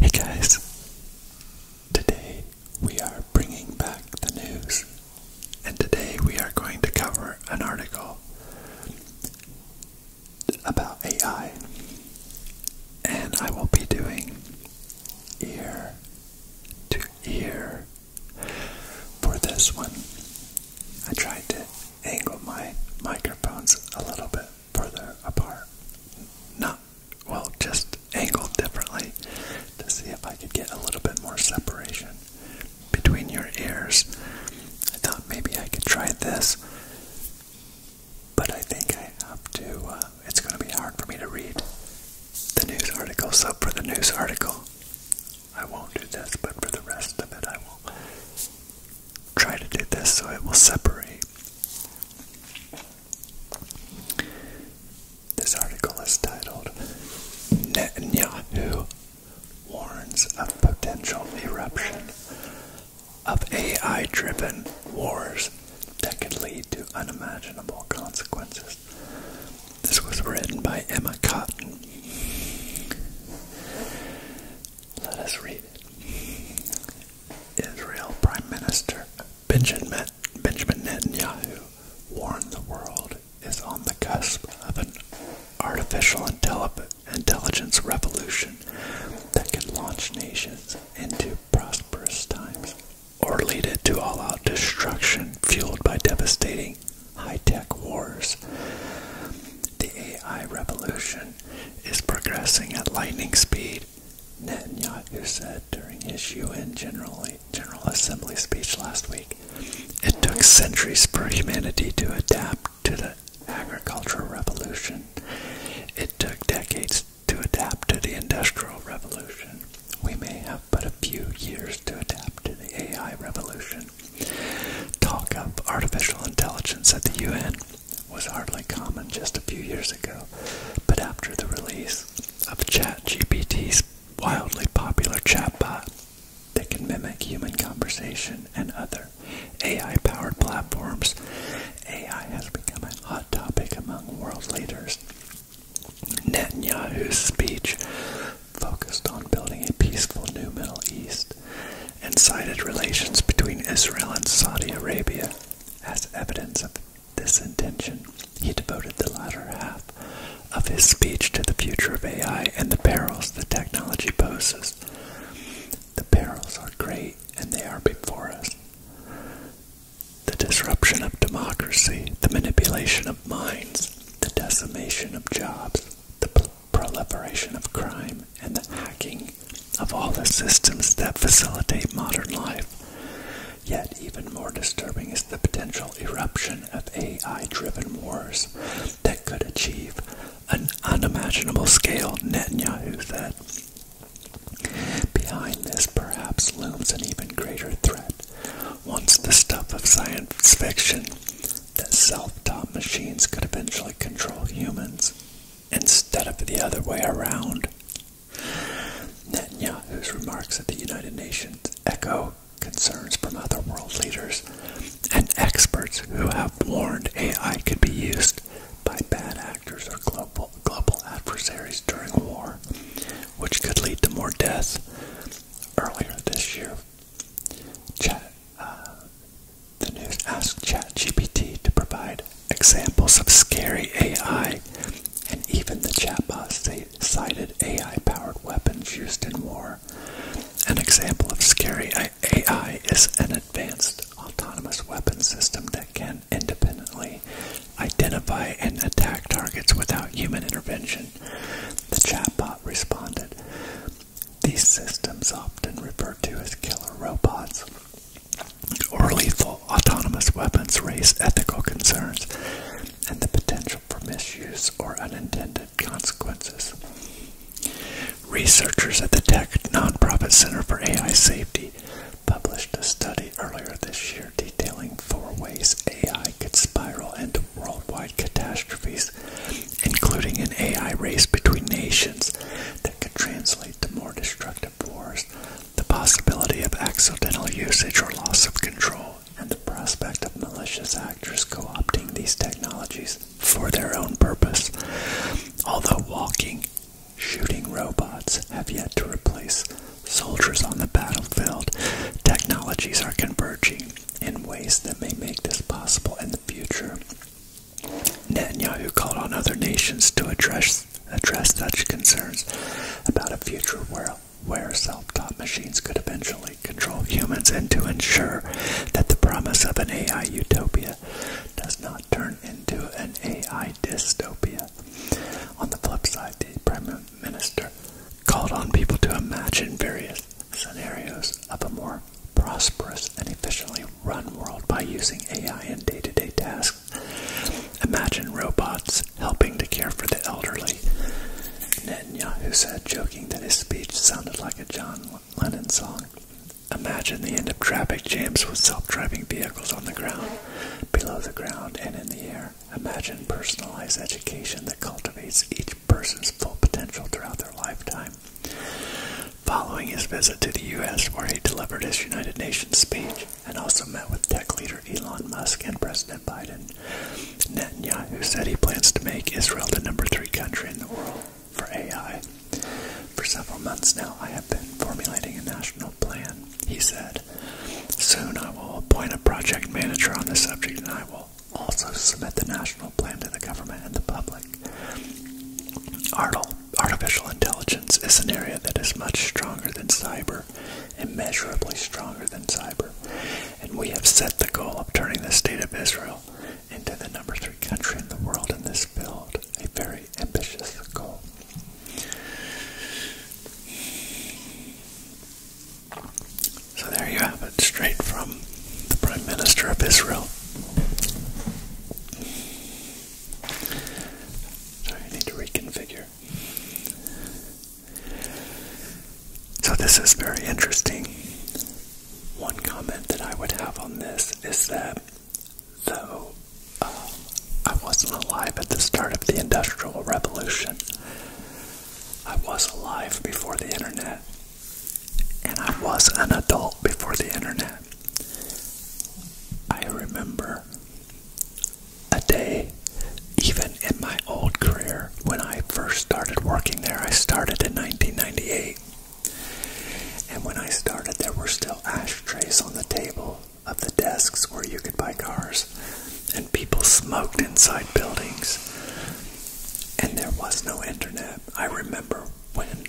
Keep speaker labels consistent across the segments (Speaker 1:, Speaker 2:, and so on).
Speaker 1: Hey guys, today we are bringing back the news, and today we are going to cover an article about AI, and I will be doing ear to ear for this one, I tried to angle my microphones a little bit further apart. Not, well, just angled differently to see if I could get a little bit more separation between your ears. I thought maybe I could try this, but I think I have to, uh, it's going to be hard for me to read the news article. So, for the news article, I won't do this, but for the rest of it, I will try to do this so it will separate. This article is titled Netanyahu Warns of Potential Eruption of AI Driven Wars That Could Lead to Unimaginable Consequences. This was written by Emma Cotton. Let us read it. Israel Prime Minister Benjamin Netanyahu warned the world is on the cusp of an artificial intelligence revolution that could launch nations into prosperous times or lead it to all out destruction fueled by devastating high tech wars. The AI revolution is progressing at lightning speed, Netanyahu said during his UN General, Assembly speech last week. It took centuries for humanity to adapt to the agricultural revolution. It took decades to adapt to the industrial revolution. We may but a few years to adapt to the AI revolution. Talk of artificial intelligence at the UN was hardly common just a few years ago, but after the release of ChatGPT's wildly popular chatbot that can mimic human conversation and other AI powered platforms, AI has become a hot topic among world leaders Netanyahu's speech focused on building a peaceful new Middle East and cited relations between Israel and Saudi Arabia as evidence of this intention. He devoted the latter half of his speech to the future of AI and the perils the technology poses. The perils are great and they are before us. The disruption of democracy, the manipulation of minds, the decimation of jobs, the proliferation of crime, and the hacking of all the systems that facilitate modern life. Yet, even more disturbing is the potential eruption of AI driven wars that could achieve an unimaginable scale, Netanyahu said. Behind this perhaps looms an even greater threat once the stuff of science fiction that self-taught machines could eventually control humans instead of the other way around. Netanyahu's remarks at the United Nations echo concerns from other world leaders and experts who have warned AI could be used by bad actors or global adversaries during war which could lead to more deaths. Earlier this year, Chat, uh, the news asked ChatGPT to provide examples of scary AI, and even the chatbot cited AI-powered weapons used in war. An example of scary AI is an advanced autonomous weapon system that can independently identify and attack targets without human intervention. The chatbot responded. These systems, often referred to as killer robots or lethal autonomous weapons, raise ethical concerns and the potential for misuse or unintended consequences. Researchers at the Tech Nonprofit Center for AI Safety published a study earlier this year detailing four ways AI could spiral into worldwide catastrophes, including an AI race between nations that could translate to more destructive wars, the possibility of accidental usage or loss of control, and the prospect of malicious actors co opting these technologies for their own purpose. Although walking, shooting robots have yet to replace soldiers on the battlefield, technologies are converging in ways that may make this possible in the future. Netanyahu called on other nations to address address such concerns about a future where where self-taught machines could eventually control humans and to ensure that the promise of an AI utopia does not turn into an AI dystopia. On the flip side, the Prime minister called on people to imagine various scenarios of a more prosperous and efficiently run world by using AI in day to day tasks. Imagine robots helping to care for the elderly. Netanyahu said, joking that his speech sounded like a John Lennon song. Imagine the end of traffic jams with self driving vehicles on the ground, below the ground, and in the air. Imagine personalized education that cultivates each person's full potential throughout their lifetime. Following his visit to the U.S., where he delivered his United Nations speech and also met with tech leader Elon Musk and President Biden, Netanyahu said he plans to make Israel the number three country in the world for AI. For several months now, I have been formulating a national plan he said. Soon I will appoint a project manager on the subject and I will also submit the national plan to the government and the public. Artificial intelligence is an area that is much stronger than cyber, immeasurably stronger than cyber, and we have set the goal of turning the state of Israel into the number three country in the world in this field, a very ambitious goal. So there you have it, straight from the Prime Minister of Israel. Sorry, I need to reconfigure. So this is very interesting. One comment that I would have on this is that though I wasn't alive at the start of the Industrial Revolution. I was alive before the internet, and I was an adult before the internet. I remember a day, even in my old career, when I first started working there. I started in 1998. And when I started, there were still ashtrays on the table of the desks where you could buy cars, and people smoked inside buildings, and there was no internet. I remember when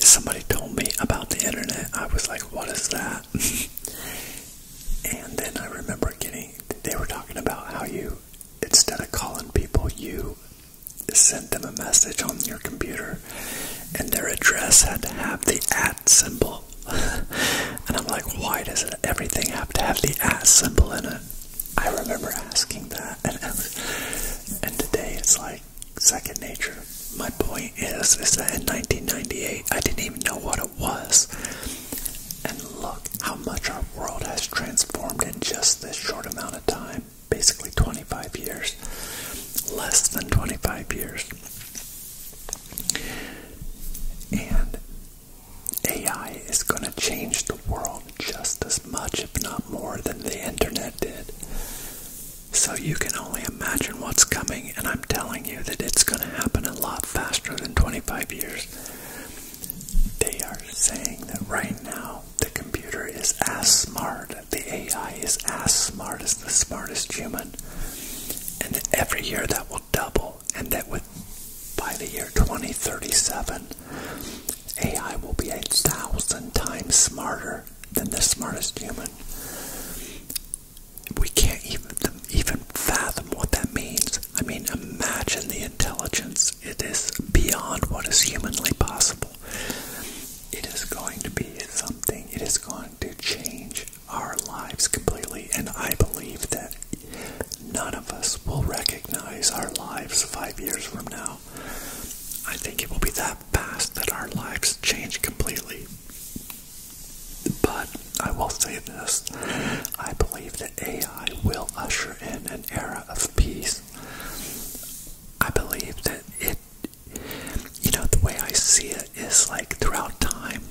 Speaker 1: somebody told me about the internet, I was like, what is that? and then I remember getting, they were talking about how you, instead of calling people, you sent them a message on your computer, and their address had to have the address at symbol. and I'm like, why does everything have to have the at symbol in it? I remember asking that. and today it's like second nature. My point is, is that in 1998, I didn't even know what it was. And look how much our world has transformed in just this short amount of time. Basically 25 years. Less than 25 years. And AI is going to change the world just as much, if not more, than the internet did. So you can only imagine what's coming, and I'm telling you that it's going to happen a lot faster than 25 years. They are saying that right now the computer is as smart, the AI is as smart as the smartest human, and every year that will double, and that with by the year 2037, AI will be eight thousand times smarter than the smartest human. We can't even even fathom what that means. I mean, imagine the intelligence. It is beyond what is humanly possible. It is going to be something. It is going to change our lives completely, and I believe that none of us will recognize our lives five years from now. I think it will be that fast that our lives change completely. But I will say this I believe that AI will usher in an era of peace. I believe that it you know, the way I see it is like throughout time.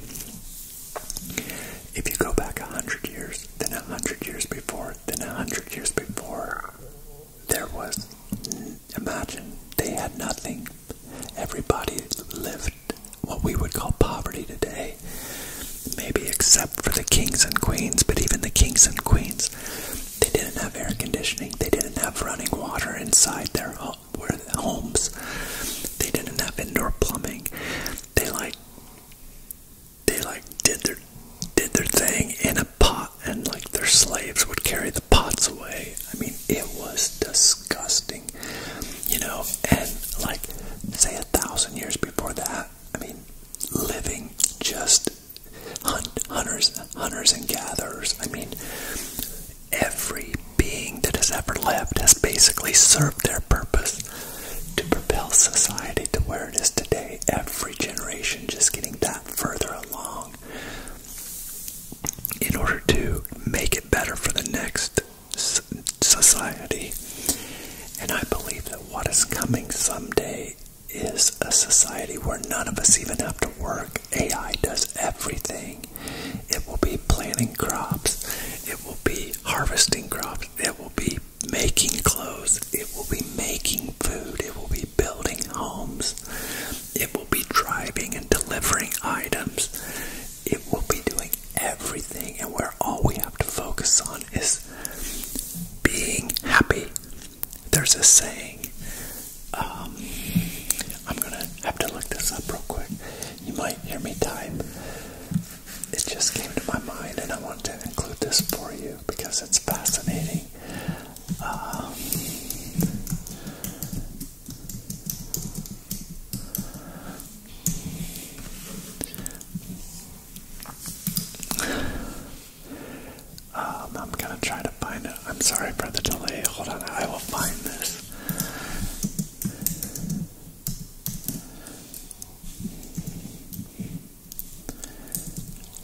Speaker 1: If you go back a hundred years, then a hundred years before, then a hundred years before, there was, imagine, they had nothing. Everybody lived what we would call poverty today, maybe except for the kings and queens, but even the kings and queens, they didn't have air conditioning, they didn't have running water inside their home were homes. They didn't have indoor plumbing. They like they like did their did their thing in a pot and like their slaves would carry the pots away. I mean it was disgusting. You know, and like say a thousand years before that, I mean living just hunt, hunters hunters and gatherers. I mean every being that has ever lived has basically served their purpose to propel society to where it is today. Every generation just getting that further along in order to make it better for the next society. And I believe that what is coming someday is a society where none of us even have to work. AI does everything it will be planting crops, it will be harvesting crops, it will be making clothes, it will be making food, it will be building homes, it will be driving and delivering items, it will be doing everything. And where all we have to focus on is being happy. There's a saying um, I'm gonna have to look this up real quick. You might hear me type. It just came to my mind, and I wanted to include this for you because it's fascinating. Um, um, I'm gonna try to I'm sorry for the delay. Hold on, I will find this.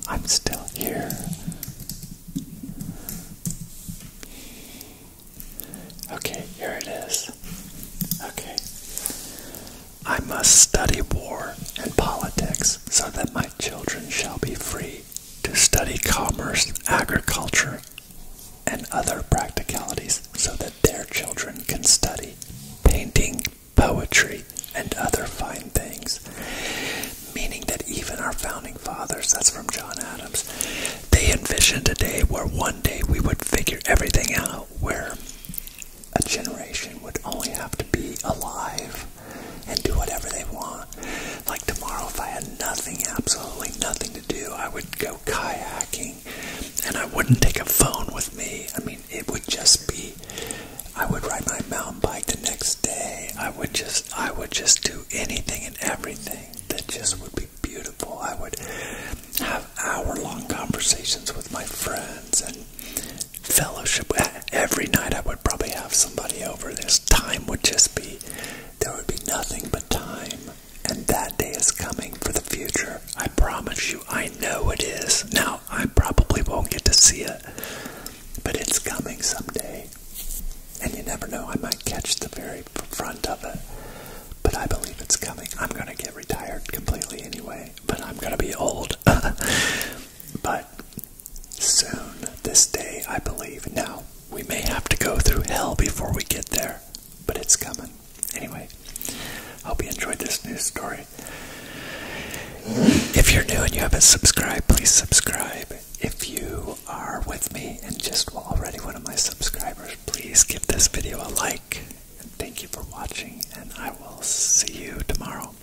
Speaker 1: I'm still here. Okay, here it is. Okay. I must study war and politics so that my children shall be free to study commerce, agriculture, and other practicalities so that their children can study painting, poetry, and other fine things. Meaning that even our founding fathers, that's from John Adams, they envisioned a day where one day we would figure everything out, where a generation would only have to be alive and do whatever they want like tomorrow, if I had nothing, absolutely nothing to do, I would go kayaking and I wouldn't take a phone with me. I mean, it would just be, I would ride my mountain bike the next day. I would just, I would just do anything and everything that just would be beautiful. I would have hour long conversations with my friends and fellowship. Every night I would probably have somebody over. This time would just be there would be nothing but time, and that day is coming for the future. I promise you, I know it is. Now, I probably won't get to see it, but it's coming someday. And you never know, I might catch the very front of it. But I believe it's coming. I'm going to get retired completely anyway, but I'm going to be old. but soon, this day, I believe. Now, we may have to go through hell before we get there, but it's coming. Anyway, hope you enjoyed this new story. If you're new and you haven't subscribed, please subscribe. If you are with me and just already one of my subscribers, please give this video a like. And thank you for watching, and I will see you tomorrow.